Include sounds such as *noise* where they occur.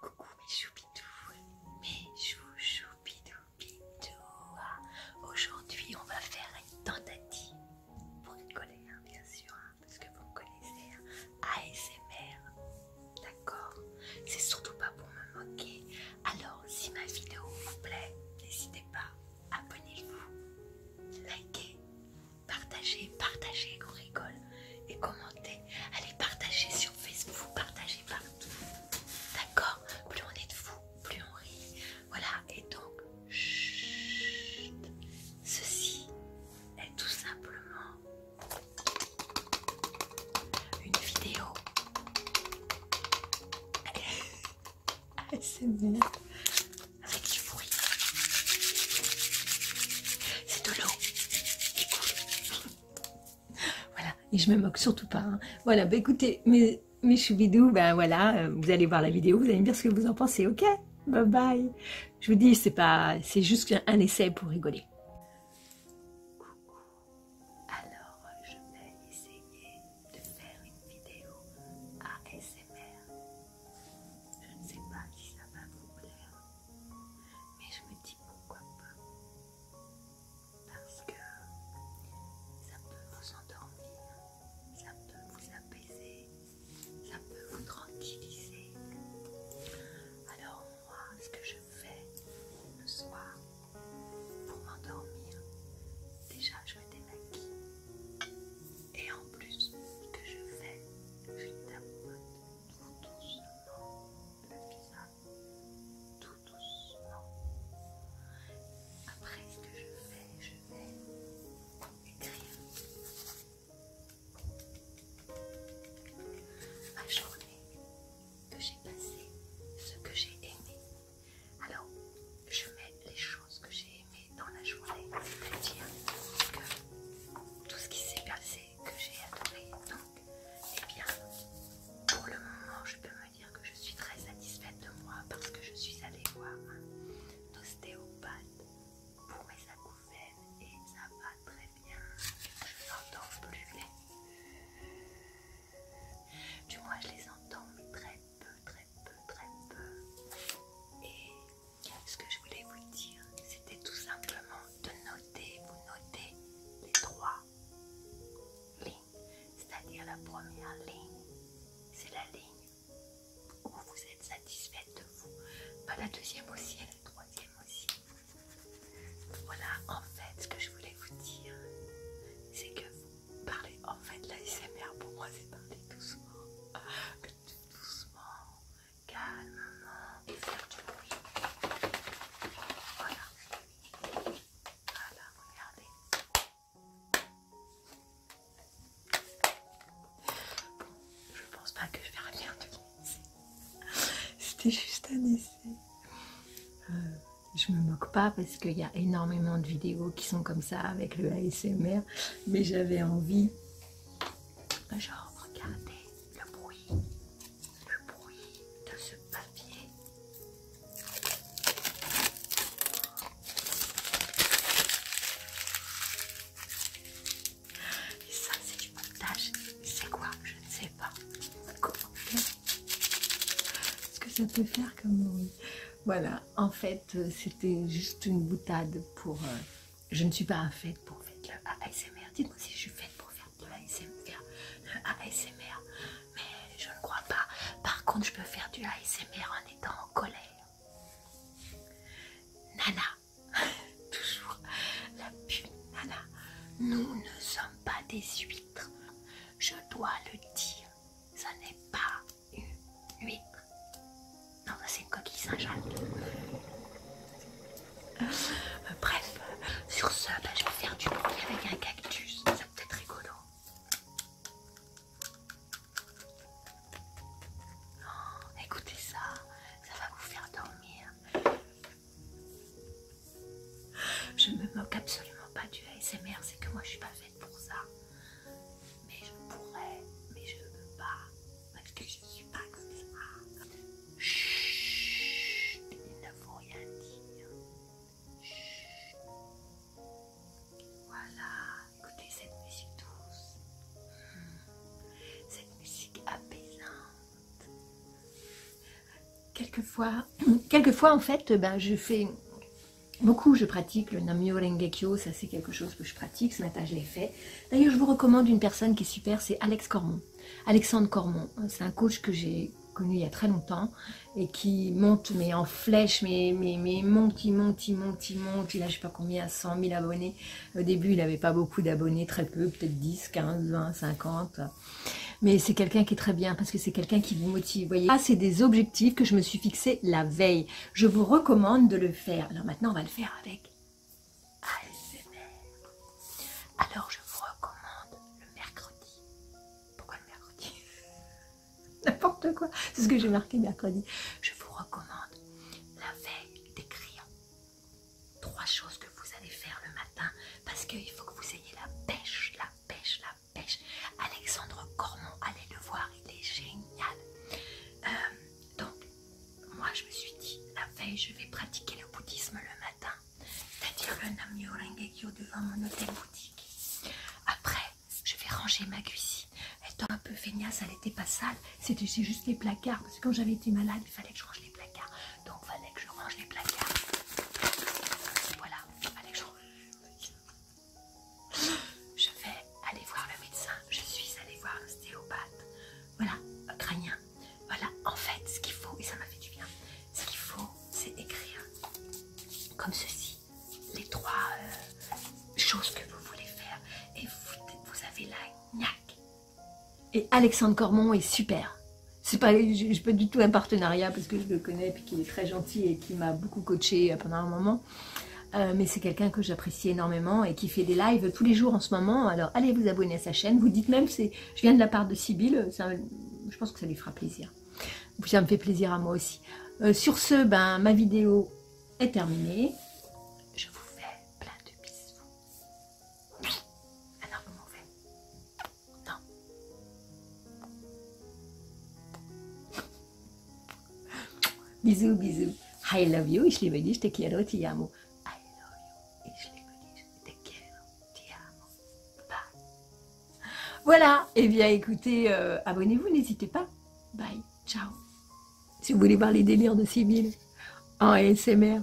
Coucou mes choupidous, mes chouchoupidous Aujourd'hui on va faire une tentative pour une colère bien sûr, hein, parce que vous me connaissez, hein. ASMR, d'accord C'est surtout pas pour me moquer. Alors si ma vidéo vous plaît, n'hésitez pas, abonnez-vous, likez, Partagez, partagez, qu'on rigole. Et commentez. Allez, partagez sur Facebook, partagez partout. D'accord Plus on est de vous, plus on rit. Voilà, et donc, ceci est tout simplement une vidéo ASMR *laughs* avec du c'est de l'eau. *laughs* voilà. Et je me moque surtout pas. Hein. Voilà. Bah, écoutez, mes, mes choubidous, ben voilà, euh, vous allez voir la vidéo, vous allez me dire ce que vous en pensez, ok Bye bye. Je vous dis, c'est pas, c'est juste un essai pour rigoler. Coucou. Alors, je vais essayer de faire une vidéo ASMR je ne sais pas si ça va vous plaire, mais je me dis pourquoi pas. Parce que ça peut vous endormir, ça peut vous apaiser, ça peut vous tranquilliser. Alors moi, ce que je fais le soir pour m'endormir, déjà je me démaquille. Et en plus, ce que je fais, je tapote tout doucement le visage, tout doucement. Après, ce que je fais, je vais écrire ma journée que j'ai passée, ce que j'ai aimé. Alors, je mets les choses que j'ai dans la journée, c'est-à-dire que tout ce qui s'est passé, que j'ai adoré. Donc, eh bien, pour le moment, je peux me dire que je suis très satisfaite de moi parce que je suis allée voir un ostéopathe pour mes acouphènes et ça va très bien. Je n'entends plus les. Du moins, je les entends, mais très peu, très peu, très peu. Et ce que je voulais vous dire, c'était tout simplement de noter, vous notez les trois lignes. C'est-à-dire la première ligne, c'est la ligne où vous êtes satisfaite de vous. Pas la deuxième aussi et la troisième aussi. Voilà, en fait, ce que je voulais vous dire, c'est que vous parlez, en fait, la SMR pour moi, c'est parler tout souvent doucement, calmement et faire du bruit. Voilà. Voilà, regardez. Bon, je pense pas que je vais bien de C'était juste un essai. Euh, je me moque pas parce qu'il y a énormément de vidéos qui sont comme ça avec le ASMR mais j'avais envie genre regarder le bruit, le bruit de ce papier. Et ça c'est du montage, c'est quoi Je ne sais pas. Comment faire Ce que ça peut faire comme bruit. Voilà, en fait, euh, c'était juste une boutade pour... Euh, je ne suis pas faite pour faire de ASMR. Dites-moi si je suis faite pour faire de ASMR. Mais je ne crois pas. Par contre, je peux faire du ASMR en étant en colère. Nana. *laughs* Toujours la pub. Nana. Nous ne sommes pas des huîtres. Je dois le dire. Ça n'est pas oui, Non, c'est une coquille Saint-Jean. Euh, bref, sur ce, bah, je vais faire du bruit avec un cactus. Ça peut être rigolo. Oh, écoutez ça, ça va vous faire dormir. Je me moque absolument pas du ASMR, c'est que moi je suis pas faite pour ça mais je pourrais, mais je ne veux pas, parce que je ne suis pas comme ça. Chut, il ne faut rien dire. Voilà, écoutez cette musique douce, cette musique apaisante. Quelquefois, *clears throat* en fait, ben, je fais Beaucoup, je pratique le Namyo Rengekyo, ça c'est quelque chose que je pratique, ce matin je l'ai fait. D'ailleurs, je vous recommande une personne qui est super, c'est Alex Cormon. Alexandre Cormon, c'est un coach que j'ai connu il y a très longtemps et qui monte, mais en flèche, mais, monte, il monte, il monte, il monte. Il a je sais pas combien, 100 000 abonnés. Au début, il n'avait pas beaucoup d'abonnés, très peu, peut-être 10, 15, 20, 50. Mais c'est quelqu'un qui est très bien parce que c'est quelqu'un qui vous motive. Voyez, ah, c'est des objectifs que je me suis fixé la veille. Je vous recommande de le faire. Alors maintenant, on va le faire avec ASMR. Alors, je vous recommande le mercredi. Pourquoi le mercredi *laughs* N'importe quoi. C'est ce que j'ai marqué mercredi. Je vous recommande la veille des d'écrire trois choses que vous allez faire le matin parce qu'il faut que vous ayez la pêche, la pêche, la pêche pêche. Alexandre Cormon, allez le voir, il est génial. Euh, donc, moi je me suis dit, la veille, je vais pratiquer le bouddhisme le matin, c'est-à-dire le Namyo Rengekyo devant mon hôtel boutique. Après, je vais ranger ma cuisine. Étant un peu feignasse, elle n'était pas sale, c'était juste les placards, parce que quand j'avais été malade, il fallait que je range les placards. Hein, je range les placards. Voilà, je... vais aller voir le médecin. Je suis allée voir un stéopathe, Voilà, crânien. Voilà, en fait, ce qu'il faut, et ça m'a fait du bien, ce qu'il faut, c'est écrire comme ceci les trois euh, choses que vous voulez faire. Et vous, avez la gnaque. Et Alexandre Cormon est super c'est pas, je, n'ai peux du tout un partenariat parce que je le connais et qu'il est très gentil et qui m'a beaucoup coaché euh, pendant un moment. Euh, mais c'est quelqu'un que j'apprécie énormément et qui fait des lives tous les jours en ce moment. Alors allez vous abonner à sa chaîne. Vous dites même, c'est, je viens de la part de Sybille, je pense que ça lui fera plaisir. Ça me fait plaisir à moi aussi. Euh, sur ce, ben, ma vidéo est terminée. Je vous fais plein de bisous. Alors, vous m'en non. bisous, bisous. I love you, ich liebe te quiero, ti amo. I love you, te quiero, ti amo. Bye. Voilà, et eh bien écoutez, euh, abonnez-vous, n'hésitez pas. Bye, ciao. Si vous voulez voir les délires de Sibylle en ASMR.